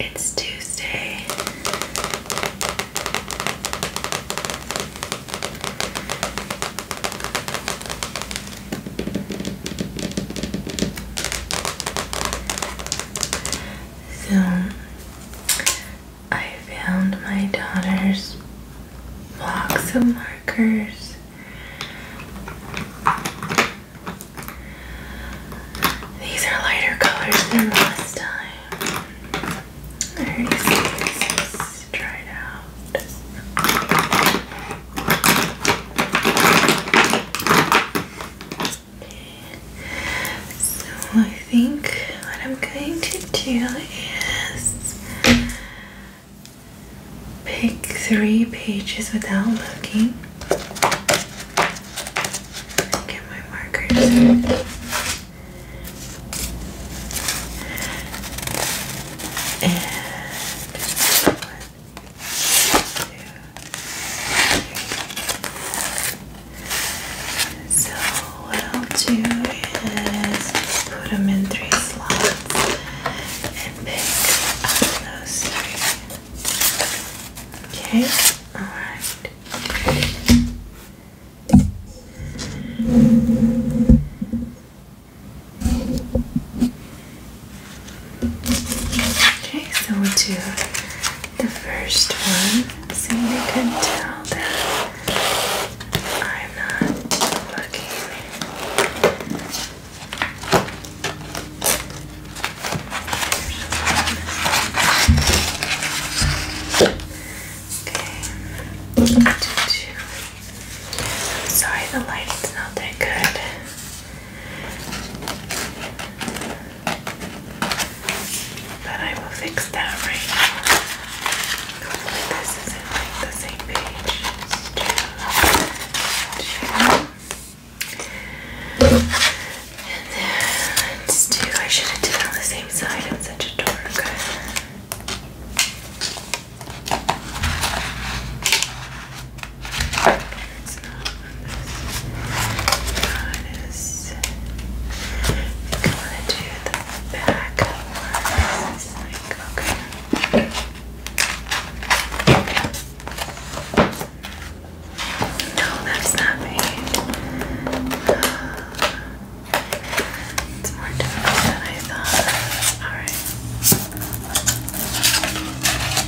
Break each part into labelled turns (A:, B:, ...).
A: It's Tuesday. So I found my daughter's box of markers these are lighter colors than last time. I already see this is dried So I think what I'm going to do is pick three pages without looking. Get my markers. And so what I'll do is put them in three slots and pick up those Okay, alright. Okay, so we'll do the first one. So you can tell that I'm not looking Okay. sorry the lighting's not that good. But I will fix that right now. Hopefully this isn't like the same page. Two. And then let's do, I should have done on the same side. I'm such a dork. It's not on this. Minus. I think I want to do the back. One. It's like, okay. No, that's not me. It's more difficult than I thought. Alright.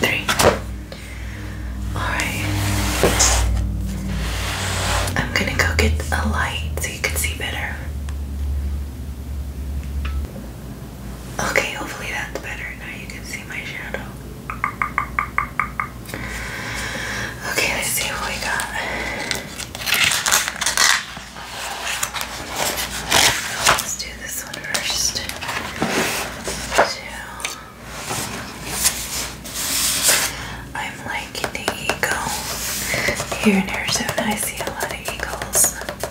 A: Three. Alright. I'm gonna go get a light so you can see better. Okay, hopefully that's better. Now you can see my shadow. Okay, let's see what we got. Let's do this one Two. I'm liking the eagle. Here and there, so I see a lot of eagles. Okay,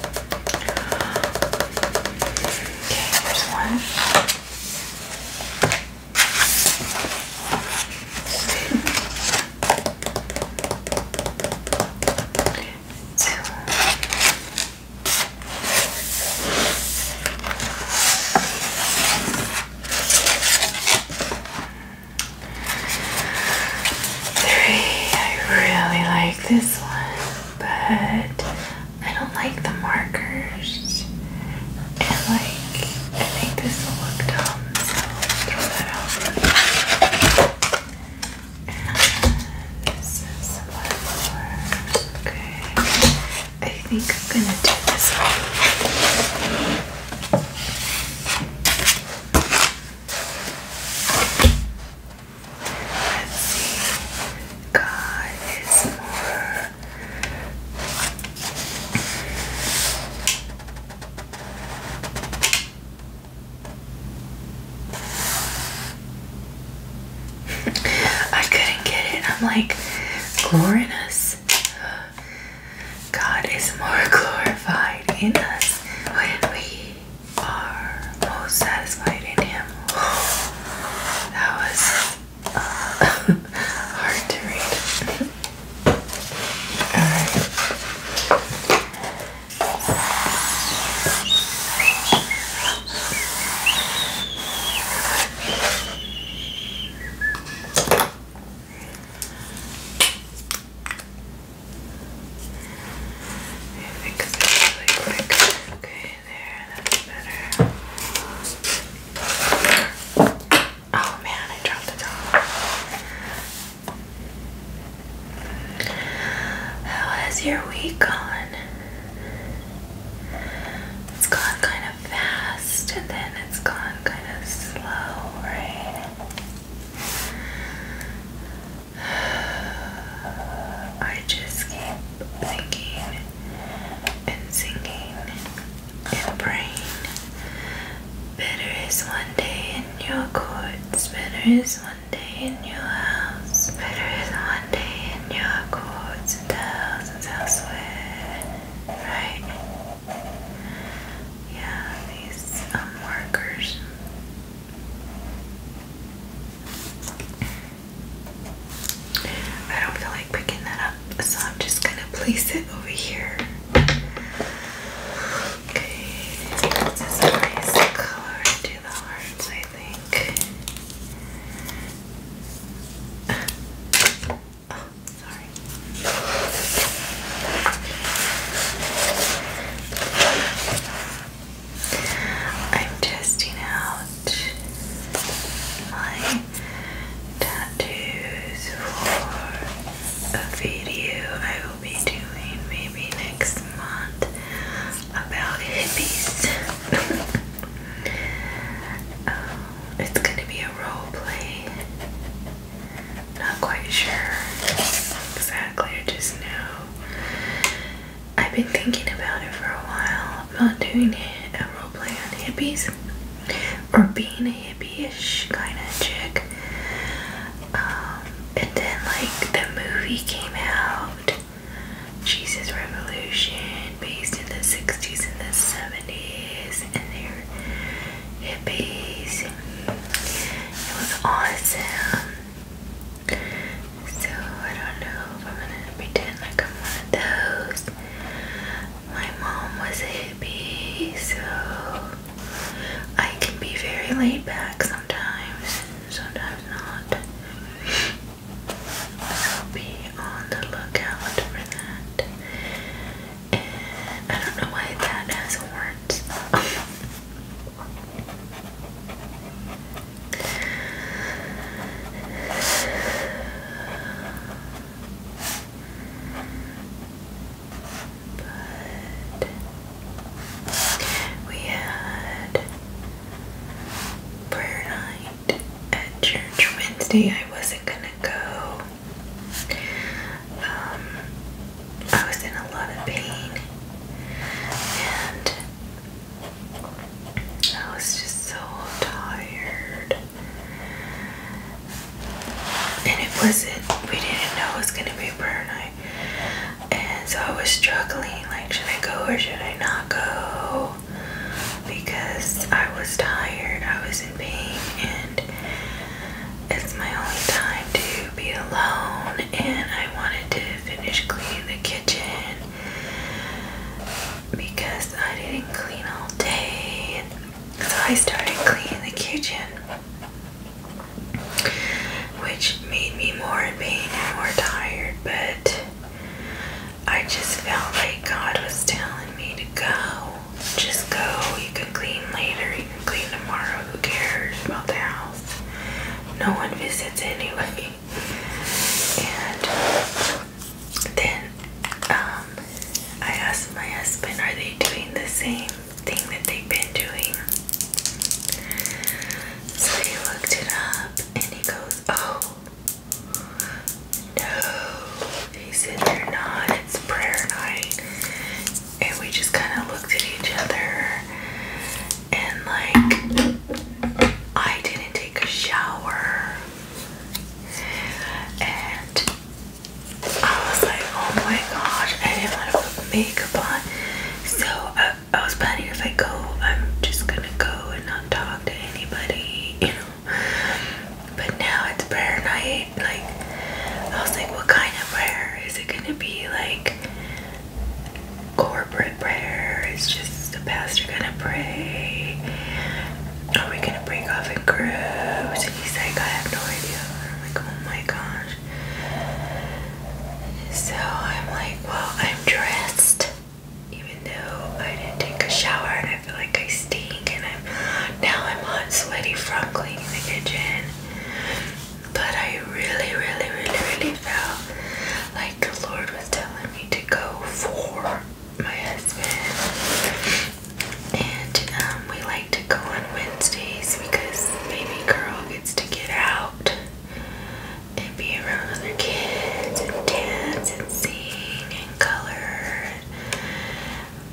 A: here's one. Two. Three. Three. I really like this one, but I don't like the markers. And like, I think this will look dumb, so throw that out. And this is one more. Okay. I think I'm gonna do this one. God is more. I couldn't get it. I'm like, glory God is more glorified in us when we are most satisfied in him. That was uh, hard to read. Alright. I fix it really quick. Okay, there, that's better. Oh man, I dropped the towel. How has your week gone? It's gone kind of fast and then it's gone kind of slow, I just keep thinking and singing and praying. Better is one day in your courts, better is one day in your house, better is one day in your courts and thousands elsewhere. Right? Yeah, these markers um, I don't feel like picking that up, so I'm just gonna place it over here. Okay, this is a nice color to the hearts, I think. Oh, sorry. I'm testing out my tattoos for a video I will be doing maybe next month about hippies. Um, it's gonna be a role play not quite sure exactly, I just know. I've been thinking about it for a while about doing a roleplay on hippies or being a hippie-ish kind of chick. Um, and then like the movie came out, Jesus Revolution, based in the 60s and the 70s, and there hippies. It was awesome. So I don't know if I'm gonna pretend like I'm one of those. My mom was hippie, so I can be very laid back sometimes, sometimes not. So be on the lookout for that. And I don't know why that has horns. But we had prayer night at church Wednesday. I wasn't gonna go. Um, I was in a lot of pain and I was just so tired. And it wasn't, we didn't know it was going to be a prayer night. And so I was struggling like, should I go or should I not go? Because I was tired, I was in pain, and it's my only time to be alone, and I wanted to finish cleaning the kitchen because I didn't clean all day. So I started cleaning the kitchen, which made me more in pain and more tired, but I just felt like God was telling me to go. Just go, you can clean later, clean tomorrow. Who cares about the house? No one visits anyway. And then um, I asked my husband, are they doing the same thing that they've been doing? So he looked it up and he goes, oh, no. He said, they're not. It's prayer night and we just kind of looked at each other and like I didn't take a shower and I was like oh my gosh I didn't want to put makeup on so I, I was planning if I go I'm just gonna go and not talk to anybody you know but now it's prayer night like, I was like, what kind of prayer? Is it gonna be like corporate prayer? Is just the pastor gonna pray? Are we gonna break off in groups? And he's like, I have no idea. I'm like, oh my gosh. So I'm like, well, I'm dressed, even though I didn't take a shower and I feel like I stink and I'm now I'm on sweaty from cleaning the kitchen. But I really, really, really, really felt like the Lord was telling me to go for my husband. And um, we like to go on Wednesdays because baby girl gets to get out and be around other kids and dance and sing and color and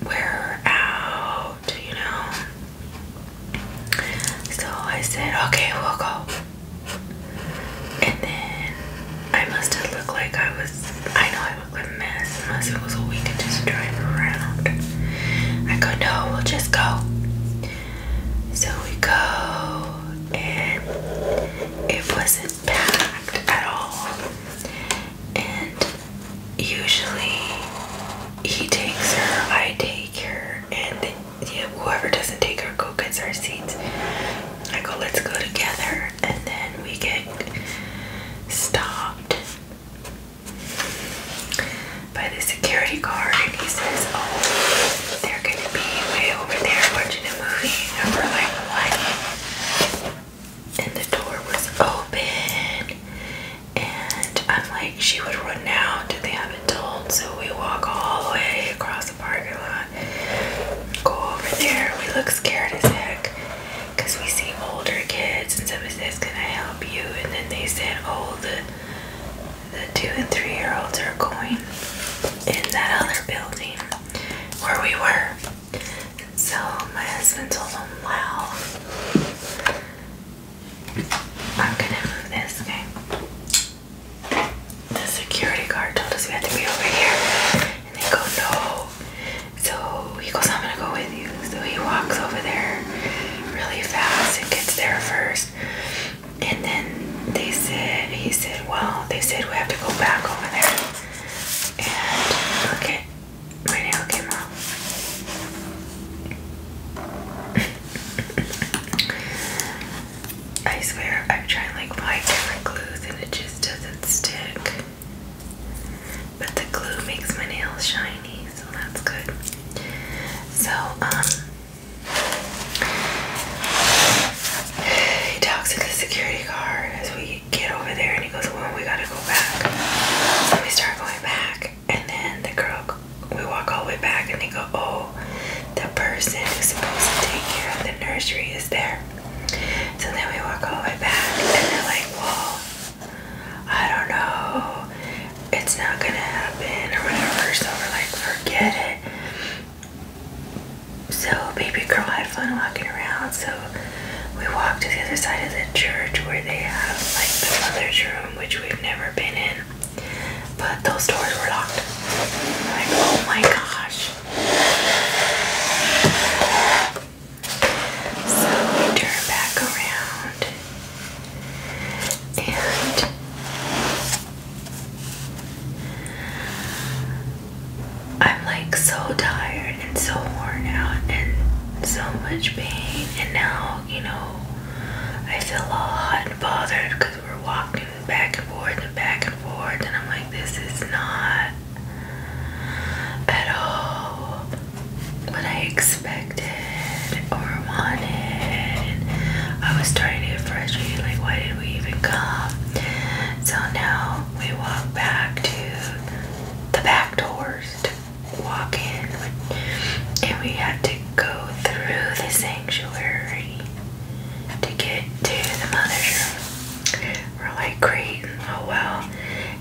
A: wear her out, you know. So I said, okay, we'll go. And then I must have looked like I was, I know I looked like a mess. unless it was a we could just drive around. I go, no, we'll just go. So we go, and it wasn't packed at all. And usually he takes her, I take her, and then, yeah, whoever doesn't take her go gets our seats. I go, let's go together, and then we get stopped by the security guard, and he says, "Oh, they're gonna be way over there watching a movie," and we're like, "What?" And the door was open, and I'm like, she would run now. Do they haven't told? So we walk all the way across the parking lot, go over there. We look scared as heck because we see older kids, and somebody says, "Can I help you?" And then they said, "Oh, the the two and three year olds are going in that other building where we were." So my husband told them, "Well." I'm gonna move this, okay? The security guard told us we had to be over here. And they go, no. So he goes, I'm gonna go with you. So he walks over there really fast and gets there first. And then they said, he said, well, they said we have to go back over there. And look my nail came off. I swear, I've tried like five different glues and it just doesn't stick. But the glue makes my nails shiny, so that's good. So, um, he talks to the security guard as we get over there and he goes, Well, we gotta go back. So we start going back. And then the girl, we walk all the way back, and they go, "Oh, the person who's supposed to take care of the nursery is there." So then we walk all the way back, and they're like, "Well, I don't know, it's not gonna happen or whatever." So we're like, "Forget it." So baby girl had fun walking around. So we walked to the other side of the church where they have like the mother's room, which we've never been in. But those doors were locked. Like, oh my gosh. So we turn back around and I'm like so tired and so worn out and so much pain and now you know. I feel all hot and bothered because we're walking back and forth and back and forth, and I'm like, this is not at all what I expected or wanted. I was starting to get frustrated, like, why did we even come? So now we walk back to the back doors walk in, and we had to go through the sanctuary to get to the mother's room. We're like, great, oh well.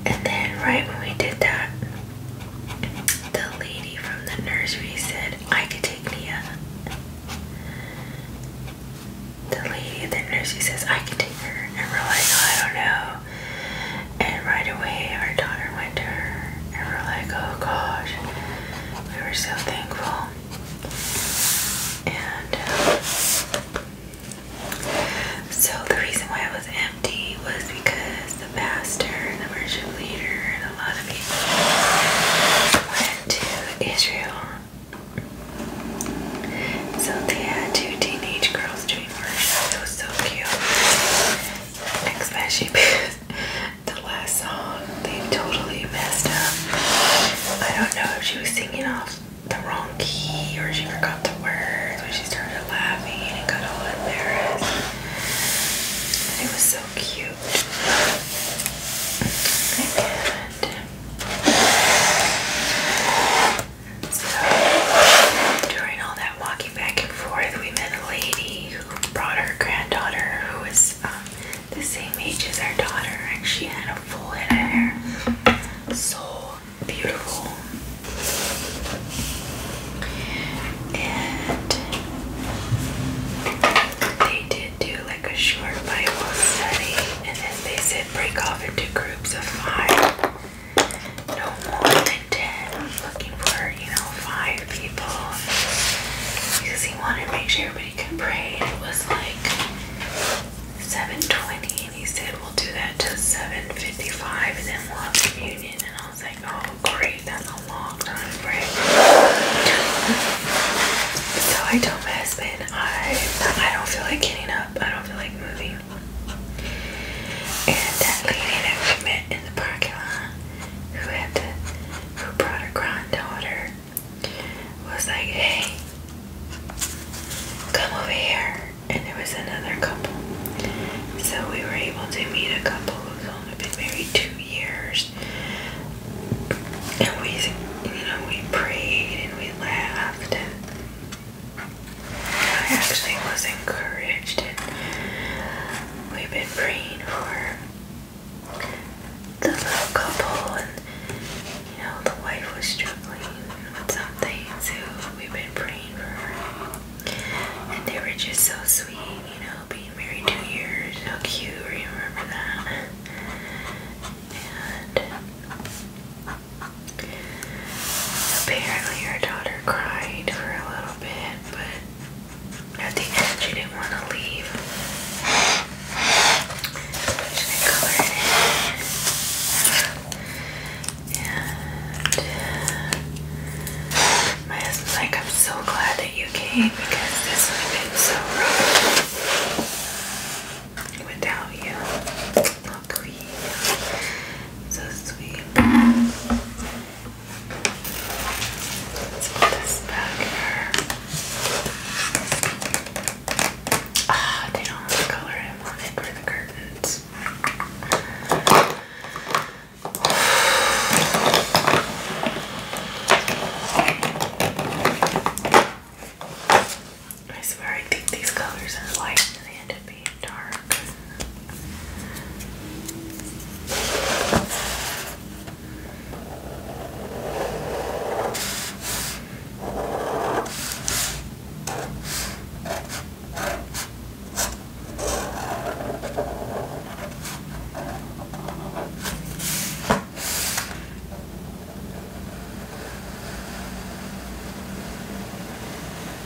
A: And then, right when we did that, the lady from the nursery said, I could take Nia. The lady at the nursery says, I could take her. And we're like, oh, I don't know. And right away, our daughter went to her, and we we're like, oh gosh, we were so thankful. And um, so the reason why it was empty was because the pastor and the worship leader and a lot of people went to Israel. So they had two teenage girls doing Marsha. It was so cute. Especially the last song they totally messed up. I don't know if she was singing off the wrong key or she forgot the words when she started laughing and got all embarrassed. it was so cute. And so During all that walking back and forth, we met a lady who brought her granddaughter, who was um, the same age as our daughter, and she had a full head of hair. So beautiful. And they did do like a short Bible study, and then they said break off into groups of five no more than 10. I was looking for, you know, five people because he wanted to make sure everybody could pray. And it was like 7.20 and he said, we'll do that till 7.55 and then we'll have communion. And I was like, oh, great. That's a long time to pray. So I told my husband, I, I don't feel like getting up. I don't feel like moving. And that lady that we met in the parking lot who had to who brought her granddaughter was like, Hey, come over here and there was another couple. So we were able to meet a couple who's only been married two years. And we you know, we prayed and we laughed I actually was encouraged, and we've been praying for the little couple, and you know, the wife was struggling with something, so we've been praying for her. And they were just so sweet, you know, being married two years, So cute, remember that? And Apparently, her daughter cried for a little bit, but at the end, she didn't want to leave. And my husband's like, I'm so glad that you came because this would have been so rough without you. So sweet. Let's put this back here. Ah, they don't have the color I wanted the curtains. I swear I think these colors are like they end up being dark. なん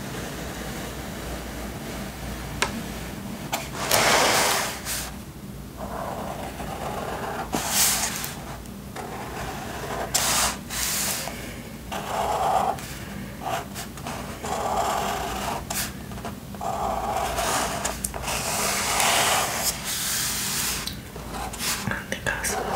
A: でかそうとか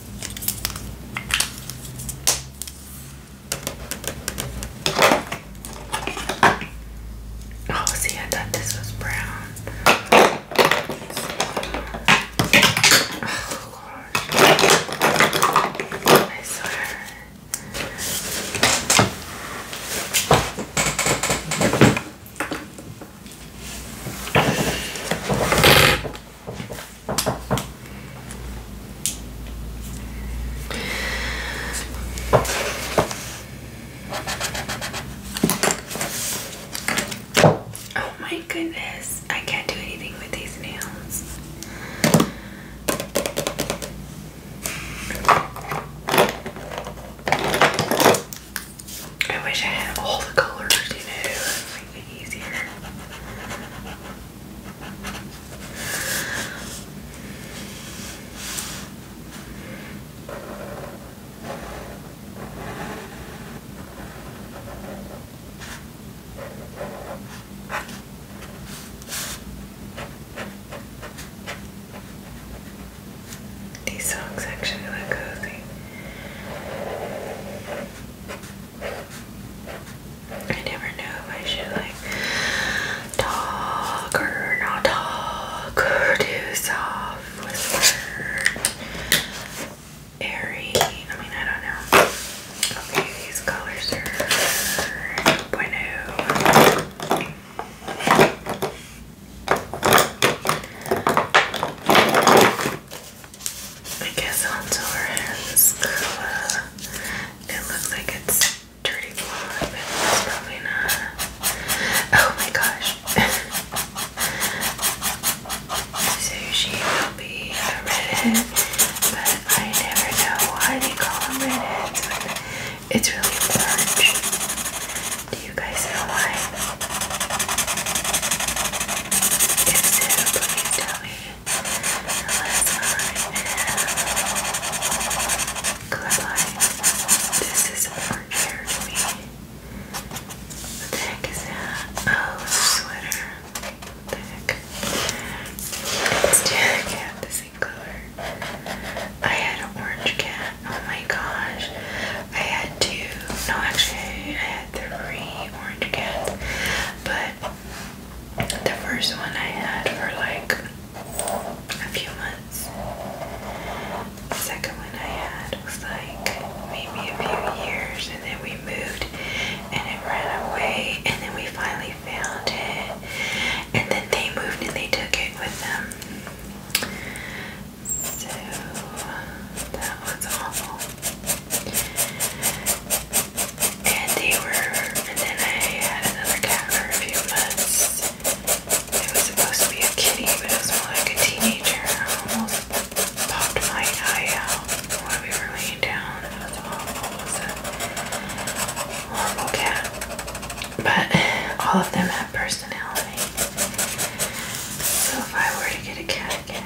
A: Oh, see, I thought this was brown. Oh, Lord. I Oh my goodness, I can't do anything with these nails. I wish I had all the colors, you know, make it easier. These songs actually look cozy. I never know if I should like talk or not talk or do soft whisper airy. I mean I don't know. Okay, these colors are 2.0. I guess onto her hands. Uh, it looks like it's dirty blonde, but it's probably not. Oh my gosh. so she will be a redhead, but I never know why they call them redheads. It's really large. Do you guys know why? If so, please tell me the last time and Coraline, this is orange hair to me. the heck is that? Oh, sweater. the heck? It's Jack cat, the same color. I had an orange cat. Oh my gosh. I had two. No, actually, I had three orange cans, but the first one I had for like a few months. The second one I had was like maybe a few years, and then we moved and it ran away, and then we finally found it, and then they moved and they took it with them. So that was awful. And they were, and then I had another cat for a few months. It was supposed to be a kitty, but it was more like a teenager. I almost popped my eye out when we were laying down. It horrible cat. But all of them have personality. So if I were to get a cat again,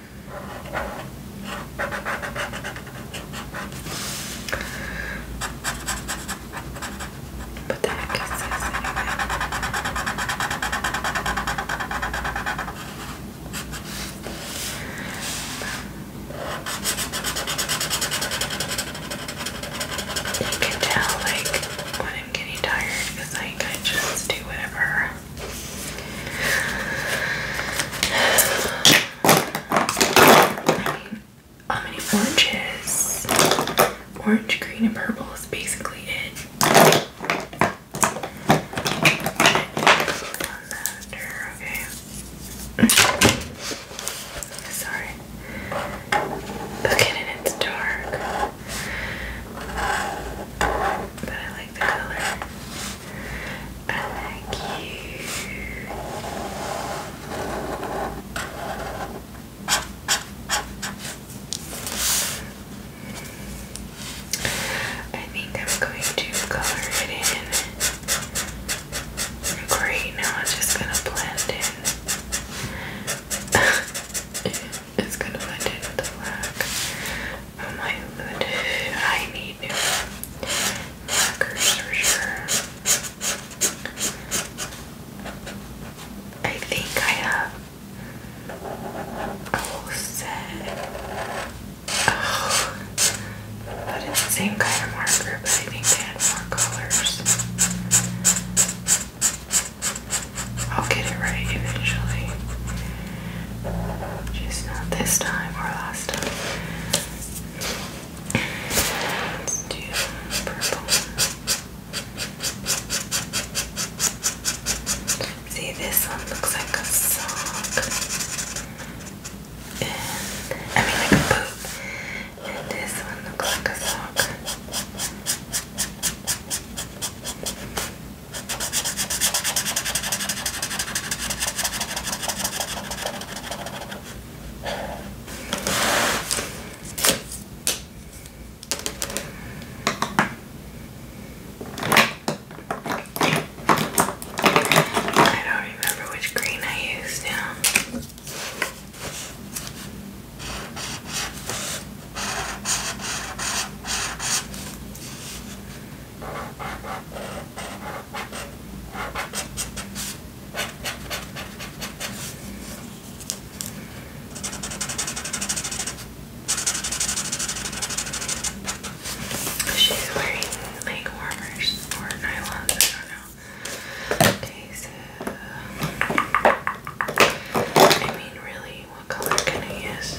A: But then it kisses anyway. You can tell like when I'm getting tired because like I just do whatever how many oranges? Orange, green, and purple is basically it. Sorry. Look at it, it's dark but I like the color. I like you. I think I'm going to color it in. Great, now it's just gonna blend in. is gonna blend in with the black. Oh my lid, I need new markers for sure. I think I have a whole set. Oh, but it's the same kind of marker, but I think they had more colors. I'll get it right eventually. Just not this time or last time. do purple. See, this one looks like a sock. And, I mean, like a boot. And this one looks like a sock. I don't remember which green I used now. She's wearing leg warmers or nylons, I don't know. Okay, so I mean really what color can I use?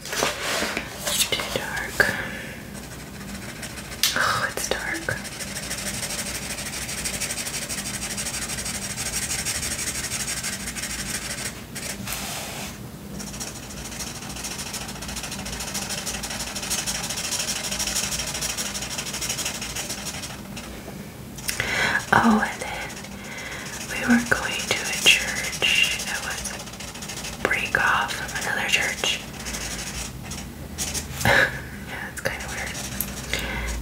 A: It's too dark. Oh, it's dark. Oh, and then we were going to a church that was break off from another church. yeah, it's kind of weird.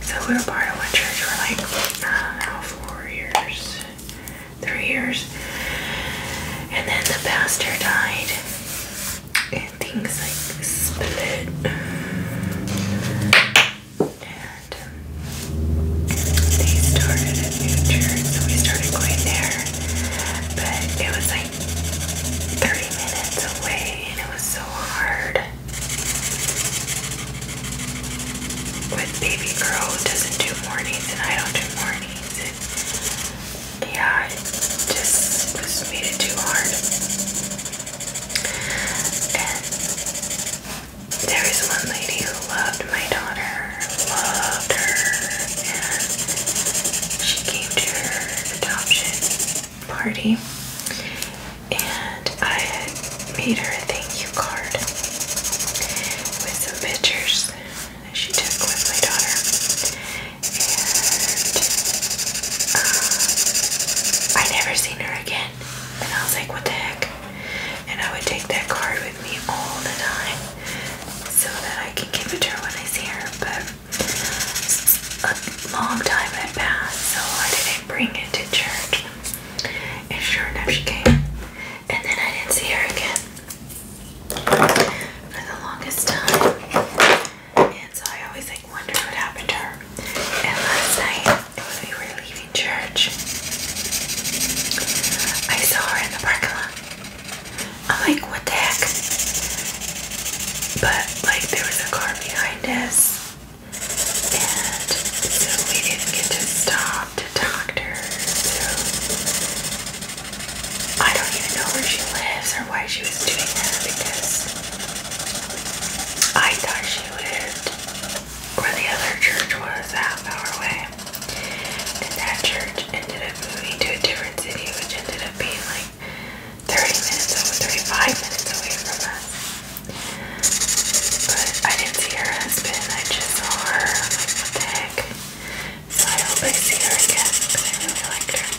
A: So we were part of one church for like, uh, four years, three years. And then the pastor died. And things like split. They started in New Jersey, so we started going there. But it was like 30 minutes away and it was so hard. With baby girl doesn't do mornings and I don't do mornings. yeah, it just was made it too hard. There is one lady who loved my daughter, loved her, and she came to her adoption party, and I had made her a thank you card with some pictures that she took with my daughter, and uh, I never seen her again. And I was like, what the heck? And I would take that card me all the time so that I can give it to her when I see her. But a long time had passed, so I didn't bring it to church. And sure enough, she came. And then I didn't see her again for the longest time. And so I always like wonder what happened to her. And last night, it was really. leaving, Church. I saw her in the parking lot. I'm like, what the heck? But like, there was a car behind us, and we didn't get to stop to talk to her. So I don't even know where she lives or why she was doing that because I thought she lived where the other church was half hour away. And that church ended up moving to a different city, which ended up being like 30 minutes away, 35 minutes away from us. But I didn't see her husband, I just saw her. what the heck? So I hope I see her again, because I really liked her.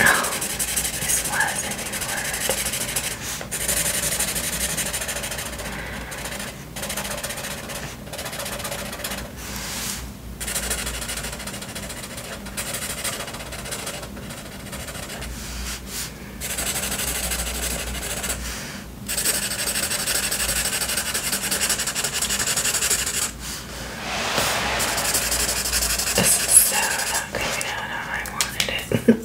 A: Oh, this was a new word. This is so not coming out how I wanted it.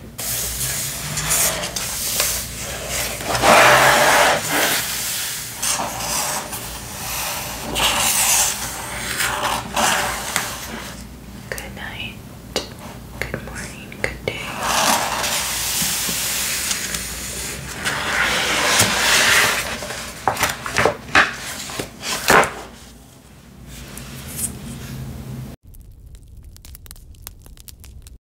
A: Good night, good morning, good day.